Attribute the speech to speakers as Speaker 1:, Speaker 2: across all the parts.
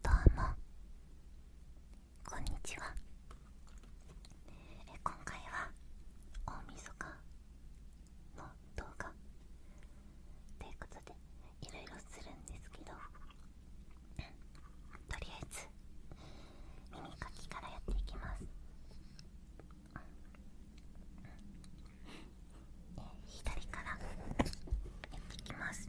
Speaker 1: どうもこんにちはえ今回は大晦日の動画ということでいろいろするんですけどとりあえず耳かきからやっていきます左からやっていきます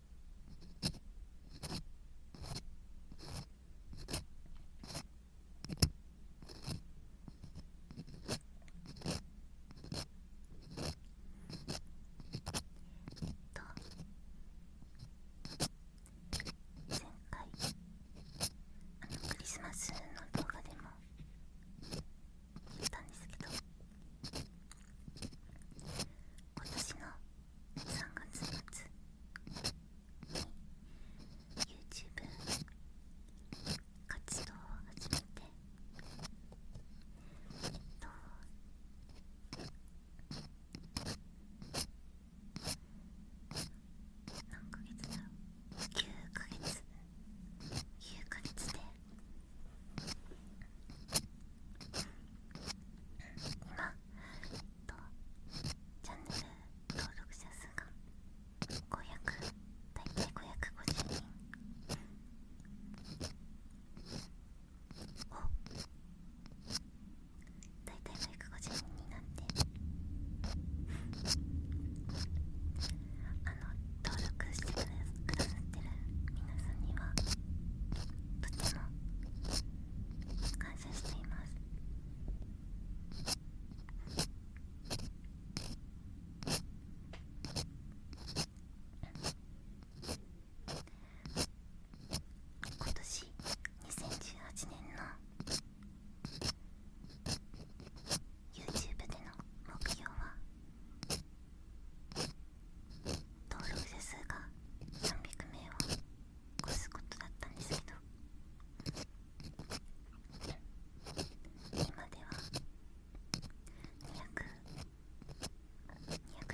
Speaker 1: 回あのクリスマスの動画でも言ったんですけど今年の3月末に YouTube 活動を始めてえっと何ヶ月だろう9ヶ月9ヶ月で今、えっと、チャンネル登録者数が500大体550人を大体550人になってあの登録してくださってる皆さんにはとても感謝しています今年2018年の YouTube での目標は登録者数が300名を超すことだったんですけど今では200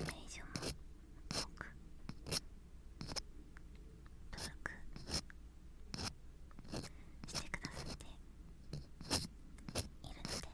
Speaker 1: 200名以上も多く登録してくださっているので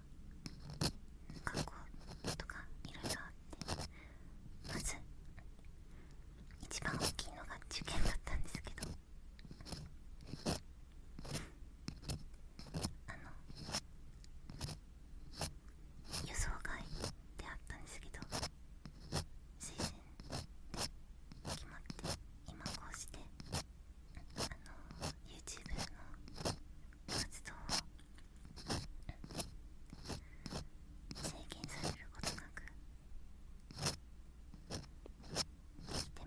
Speaker 1: 学校とかいろいろあってまず一番大きいのが受験だったんですけどあの予想外であったんですけど推薦で決まって今こうして。あの YouTube の活動を制限されることなくできてます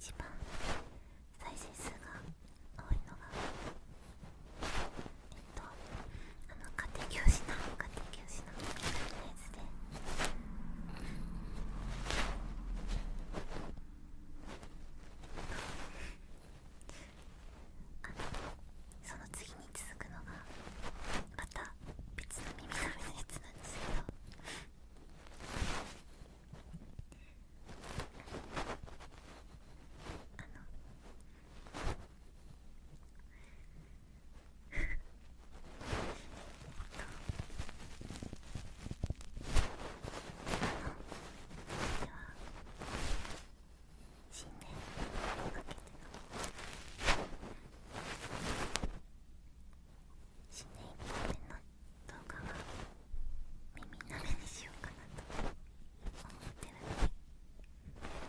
Speaker 1: 一番再生数が多いのがえっとあの家庭教師の家庭教師のやつであのその次に続くのがまた別の耳鳴りのやつなんですけどあのっ死んでかけての。新年にいけての動画は耳鍋にしようかなと思ってるので。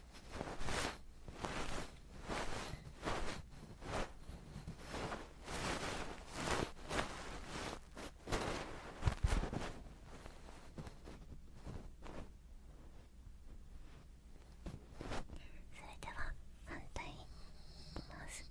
Speaker 1: それでは反対にいきます。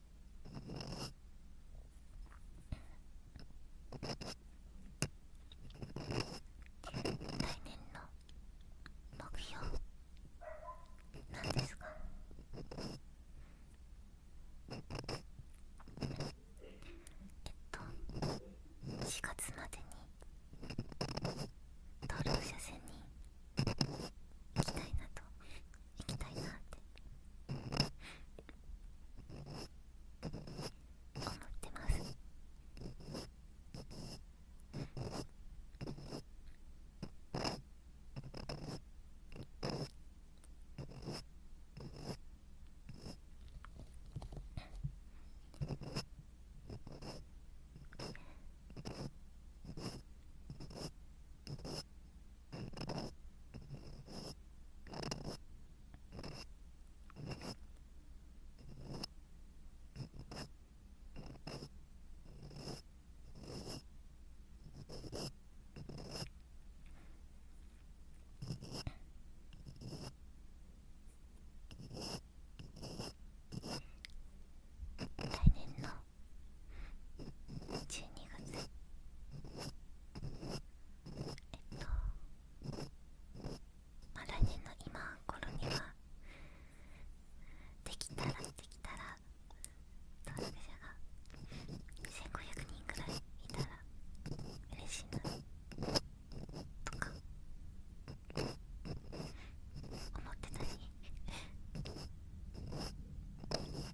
Speaker 1: 来年の目標なんですが。えっと4月までに登録者戦に行きたいなと行きたいなって思ってます来年の12月えっとまだ来年の今頃にはできたらできたら当事者が1500人ぐらいいたら嬉しいなとか思ってたし。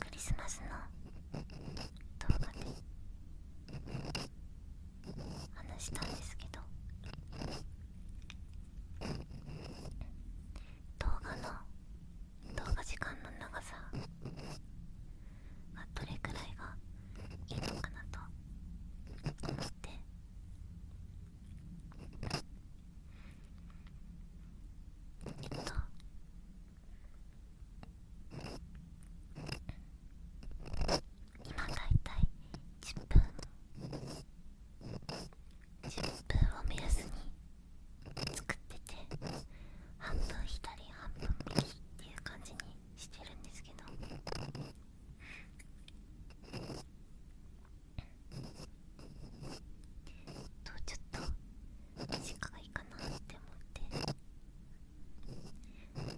Speaker 1: クリスマスの動画で話したんですけど動画の動画時間の長さはどれくらいがいいのかなとえっと今だいたい10分10分を目安に作ってて半分左半分右っていう感じにしてるんですけどとちょっと短いかなって思って今の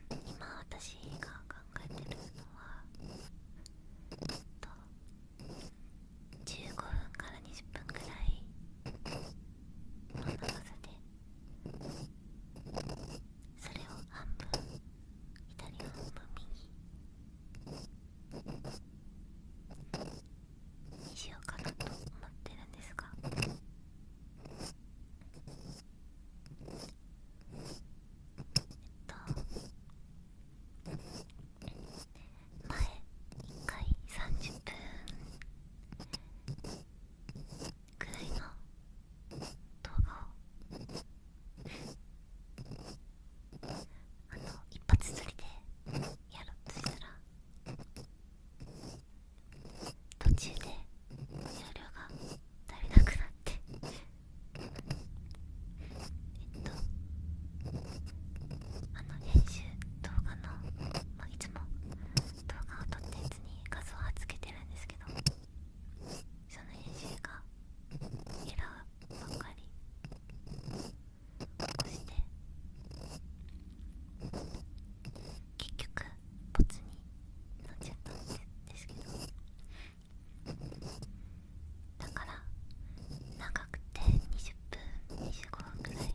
Speaker 1: 今私が考えてるのはえっと15分から20分くらいこの長さでそれを半分左半分右にしようかなと思ってるんですがえっと前1回30分ぐらいの動画をあの一発釣りでやろうとしたら途中で容量が足りなくなってえっとあの編集動画の、まあ、いつも動画を撮ったやつに画像はつけてるんですけどその編集がエラーばっかり起こして結局ボツになっちゃったんですけどだから長くて20分25分くらい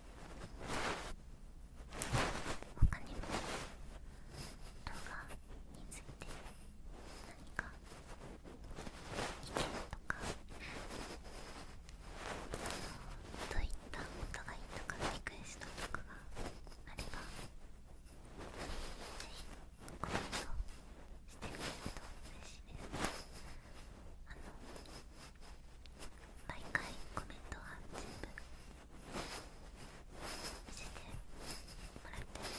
Speaker 1: 他にも動画について何か意見とかどういったことがいいとかリクエストとかがあれば是非コメントしてくれると嬉しいです。あの毎回コメントは全部見せてもらってるのでこ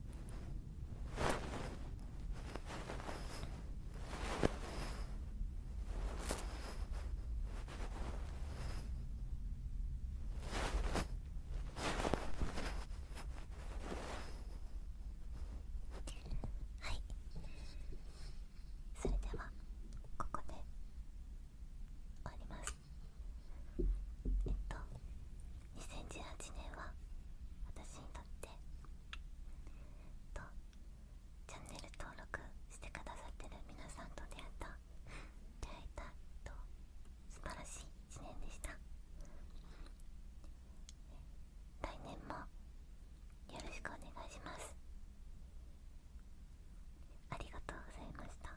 Speaker 1: はいそれではここで終わりますえっと2018年は私にとって、と、チャンネル登録してくださってる皆さんと出会った出会えた、えっと素晴らしい1年でした来年もよろしくお願いしますありがとうございました